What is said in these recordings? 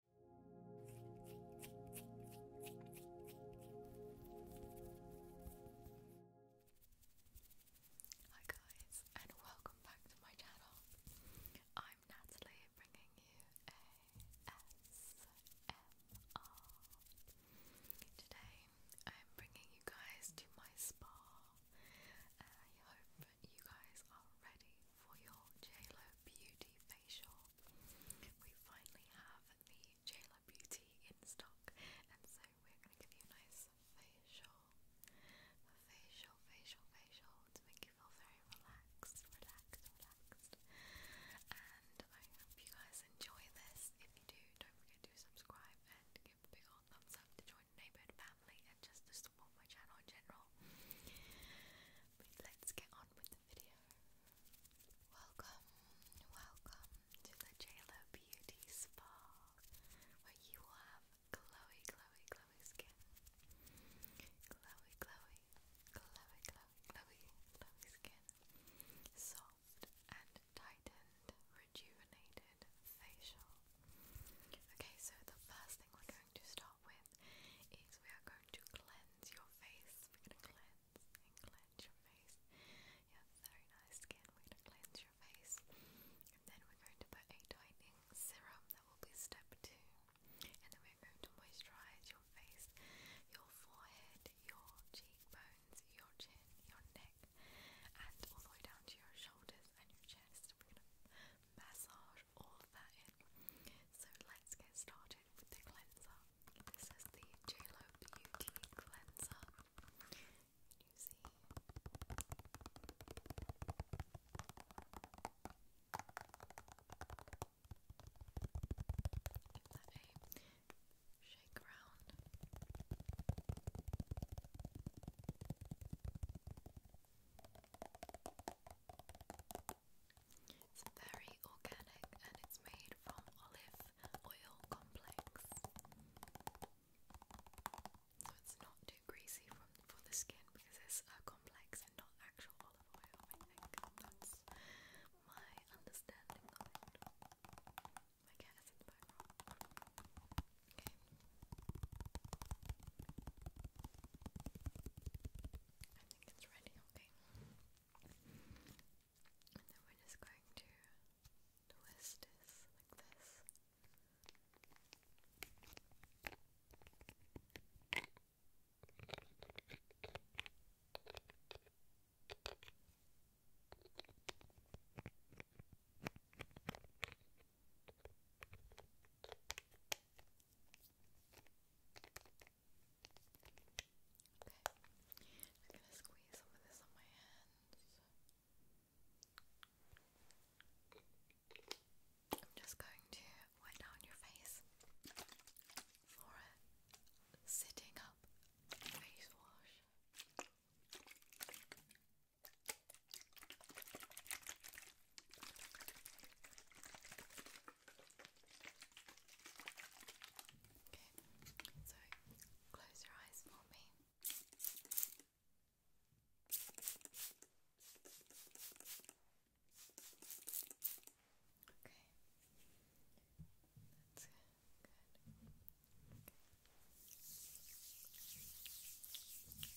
Hi guys and welcome back to my channel. I'm Natalie bringing you ASMR. Today I'm bringing you guys to my spa I hope you guys are ready for your JLo Beauty facial. We finally have the Jayla Beauty in stock, and so we're going to give you a nice facial, facial, facial, facial to make you feel very relaxed, relaxed, relaxed. And I hope you guys enjoy this. If you do, don't forget to subscribe and give a big old thumbs up to join the neighborhood family and just to support my channel in general. let's get on. Welcome, welcome to the JLo Beauty Spa, where you will have glowy, glowy, glowy skin. Glowy, glowy, glowy, glowy, glowy, glowy skin. Soft and tightened, rejuvenated facial. Okay, so the first thing we're going to start start with is we are going to cleanse your face. We're going to cleanse and cleanse your face. You have very nice skin. We're going to cleanse your face. And then we're going to put a tightening serum. That will be step two. And then we're going to moisturize your face, your forehead, your cheekbones, your chin, your neck, and all the way down to your shoulders and your chest. We're going to massage all of that in so let's get started with the cleanser. This is the JLo Beauty Cleanser. you see? shake around. It's very organic and it's made from olive oil complex. So it's not too greasy from, for the skin because it's a complex and not actual olive oil, I think. That's my understanding My cat is in the background. Okay. I think it's ready, okay. And then we're just going to twist this like this. Okay, i I'm just going to wipe down your face for a sitting up face wash. Okay, so close your eyes for me. Okay, that's good. good.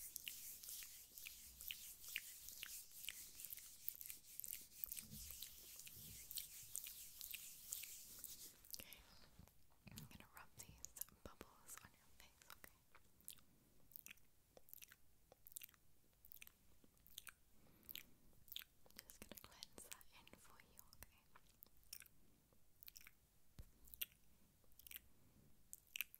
Okay. Okay, I'm gonna rub these bubbles on your face, okay? I'm just gonna cleanse that in for you, okay?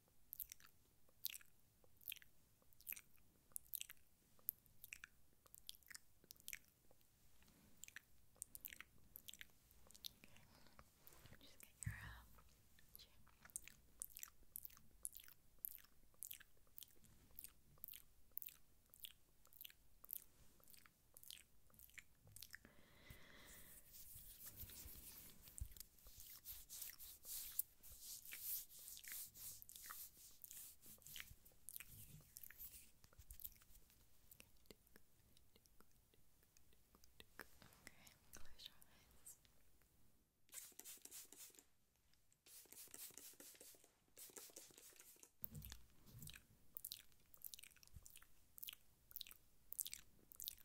Just get your uh, chin. Okay. Okay, close your eyes. Okay,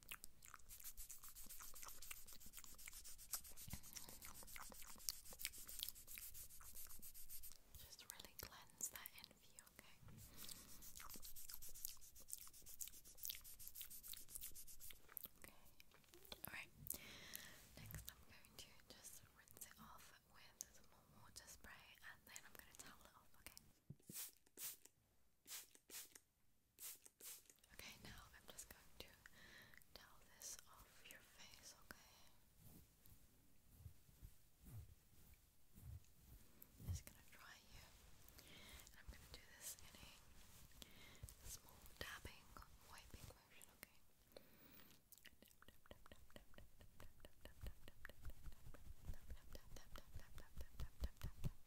Just really cleanse that envy, okay? Okay. Alright. Next I'm going to just rinse it off with some more water spray and then I'm gonna towel it off, okay? Okay, now I'm just going to towel this off your face, okay? just gonna dry you. I'm gonna do this in a small dabbing, wiping motion, okay?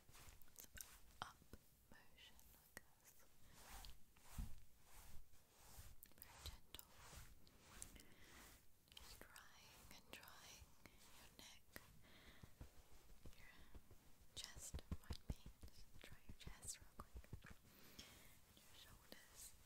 some up motion like this. Very gentle. Just drying and drying your neck, your chest, mind me. dry your chest real quick. your shoulders. Okay.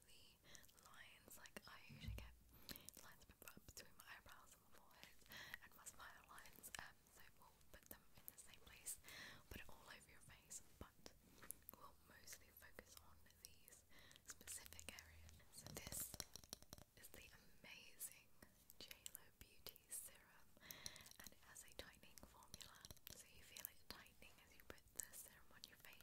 the lines, like I usually get lines between my eyebrows and my forehead and my smile lines, um, so we'll put them in the same place, put it all over your face, but we'll mostly focus on these specific areas. So this is the amazing JLo Beauty Serum, and it has a tightening formula, so you feel it tightening as you put the serum on your face.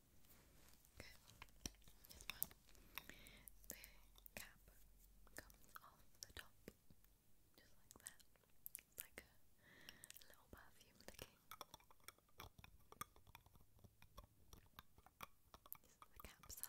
Okay. As well, the cap comes off the top, just like that. It's like a little perfume thing. This the cap sound.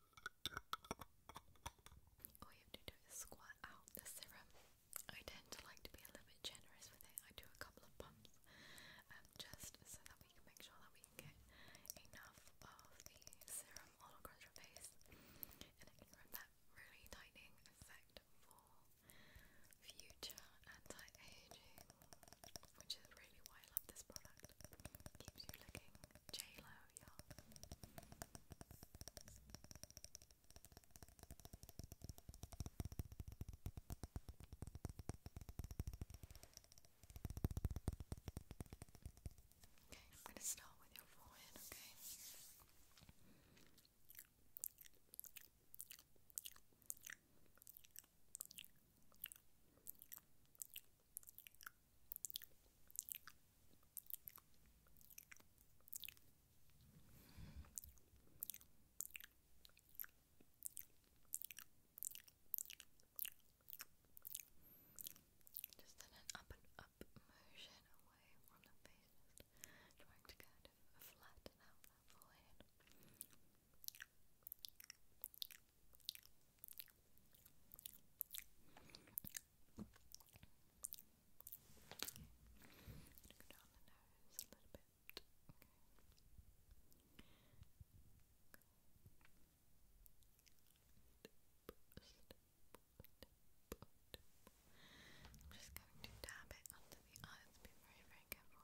All you have to do is squirt out the serum. I tend to like to be a little bit generous with it. I do a couple of pumps um, just so that we can make sure that we get enough of the serum all across your face and it can that really tightening effect for future anti-aging, which is really why I love this product. Keeps you looking J Okay, I'm going to start with your forehead, Okay. Just in an up and up motion away from the face, just trying to kind of flatten out that forehead. Okay. Go just going to dab it onto the eyes. Be very, very careful.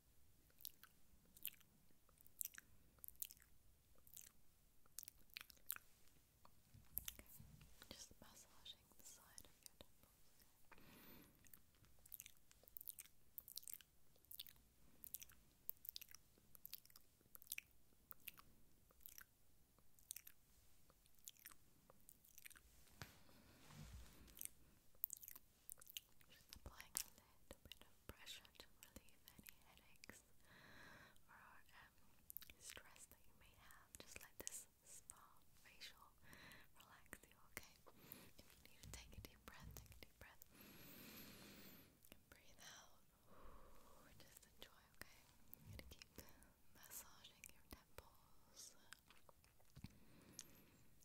Just massaging the side of your temples. Okay. Just applying a little bit of pressure to relieve any headaches or um, stress that you may have. Just let this spa facial relax you, okay? If you need to take a deep breath, take a deep breath. And breathe out. Just enjoy, okay? I'm gonna keep massaging your temples. I'm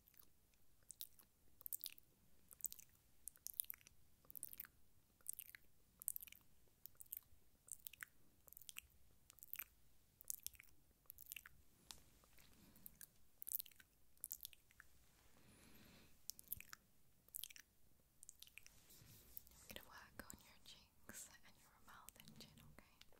gonna work on your cheeks and your mouth and chin, okay?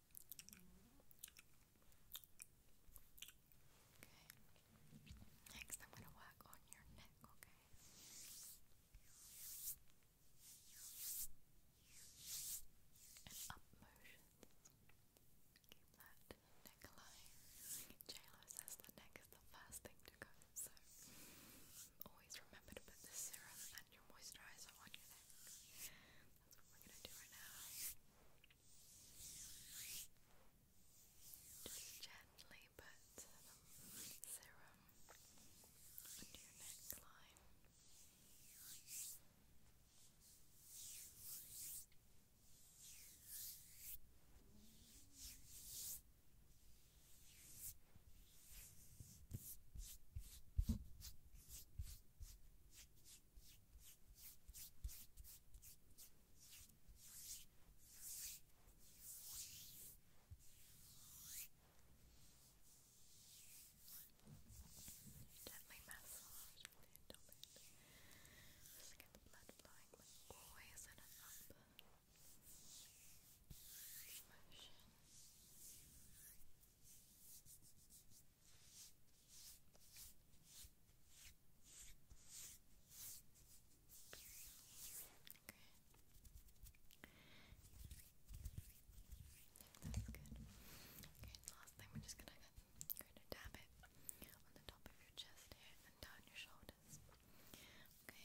Okay. Next, I'm going to work on your neck, okay? up motions. Keep that neck alive. JLo says the neck is the first thing to go, so always remember to put the serum and your moisturizer on your neck. That's what we're gonna do right now. Just gently put serum under your neckline. Just Gently massage with your abdomen. Just to get the blood flowing, but always in an up motion. That's good. Okay, last thing, we're just gonna kind of dab it on the top of your chest here and down your shoulders. Okay.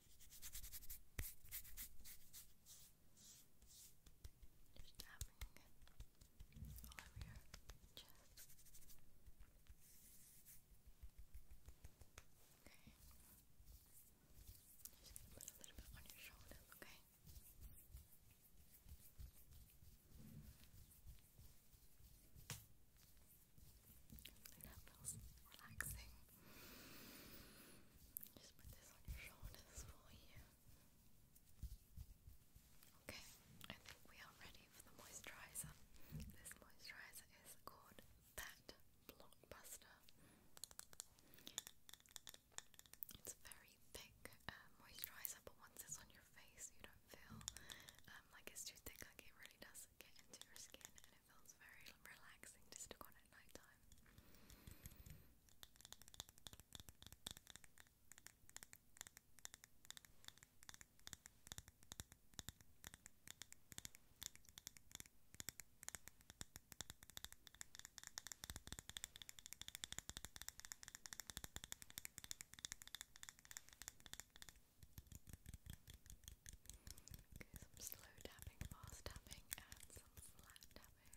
Just tapping it all over your chest. Okay. Just put a little bit on your shoulders, okay? Hopefully that feels relaxing. Just put this on your shoulders for you. Okay, I think we are ready for the moisturizer. This moisturizer is called That Blockbuster. It's very thick uh, moisturizer, but once it's on your face, you don't feel um, like it's too thick. Like it really does does get into your skin and it feels very relaxing to stick on at night some slow tapping, fast tapping, and some flat tapping.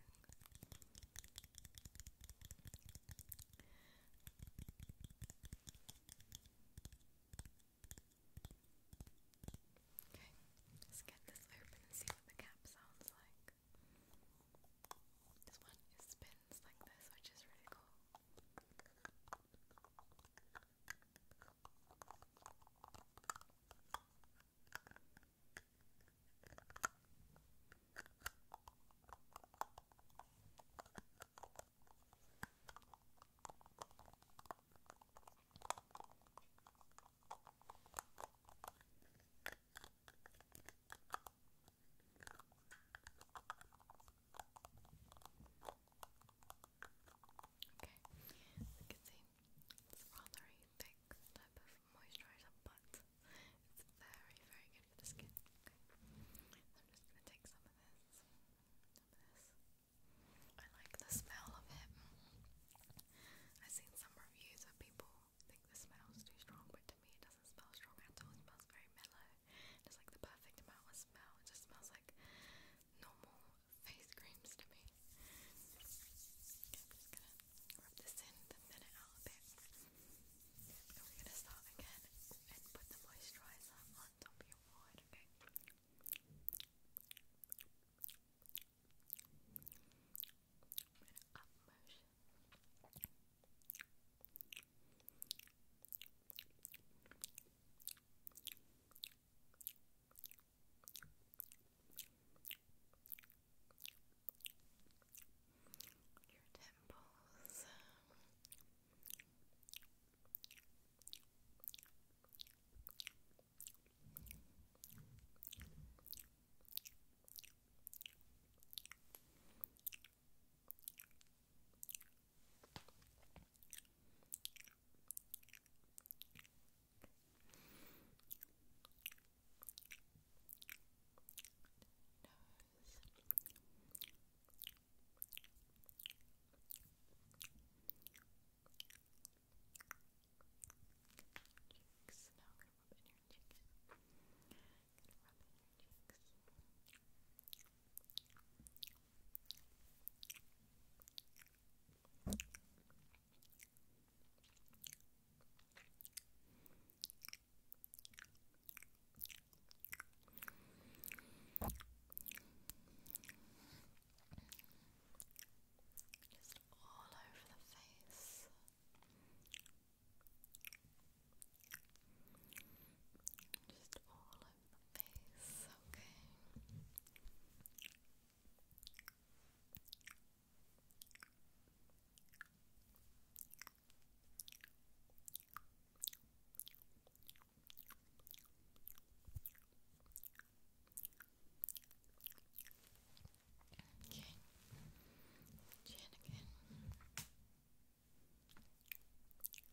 Okay, let's get this open and see what the cap sounds like. This one spins like this, which is really cool. Okay, as you can see, it's rather thick type of moisturizer, but it's very, very good for the skin. I'm just gonna take some of this, I like the smell of it. I've seen some reviews of people think the smells too strong, but to me it doesn't smell strong at all. It smells very mellow. It's like the perfect amount of smell. It just smells like normal face creams to me. I'm just gonna rub this in, then thin it out a bit. again and put the moisturizer on top of your forehead, okay? up motion your temples. Cheeks. Now I'm gonna rub in your cheeks. I'm gonna rub in your cheeks. Good. Just all over the face. Just all face, okay? Okay. Chin again. Okay.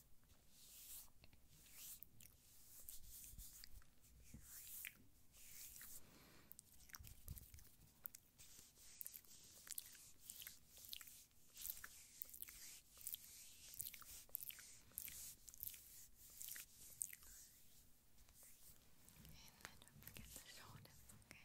And don't forget the shoulders, okay? Okay.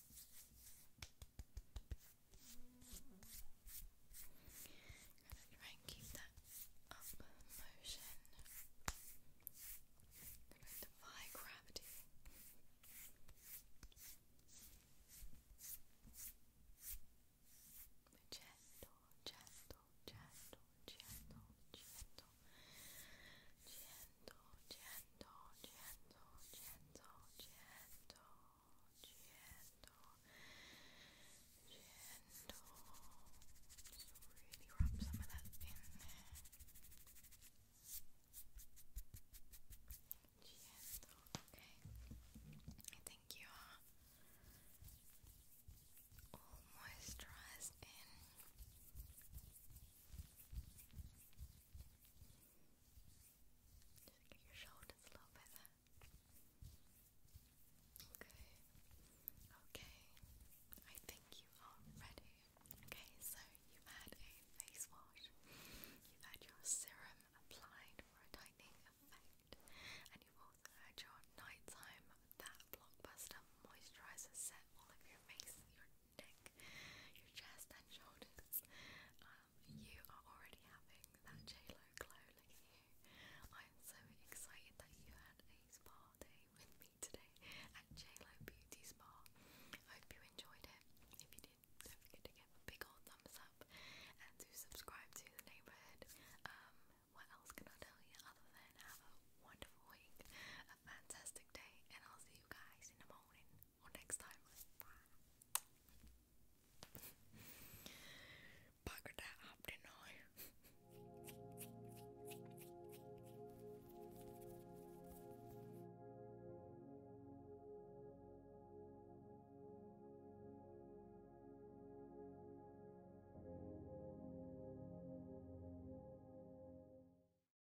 Gonna try and keep that up motion. defy gravity. Gentle, gentle, gentle, gentle, gentle, gentle, gentle, Just really rub some of that in there. Gentle, okay. I think you are all moisturized in. Just get your shoulders a little bit Okay. Okay. I think you are ready. Okay, so you had a face wash, you had your serum applied for a tightening effect, and you also had your nighttime that blockbuster moisturizer set all over your face, your neck, your chest and shoulders. Um, you are already having that JLo glow, look at you. I'm so excited that you had a spa day with me today at JLo Beauty Spa. I hope you enjoyed it. If you did, don't forget to give a big old thumbs up and to subscribe to the neighbourhood. Um, what else can I tell you other than have a wonderful week, a fantastic day, and I'll see you guys in the morning or next time. Bugger that up, did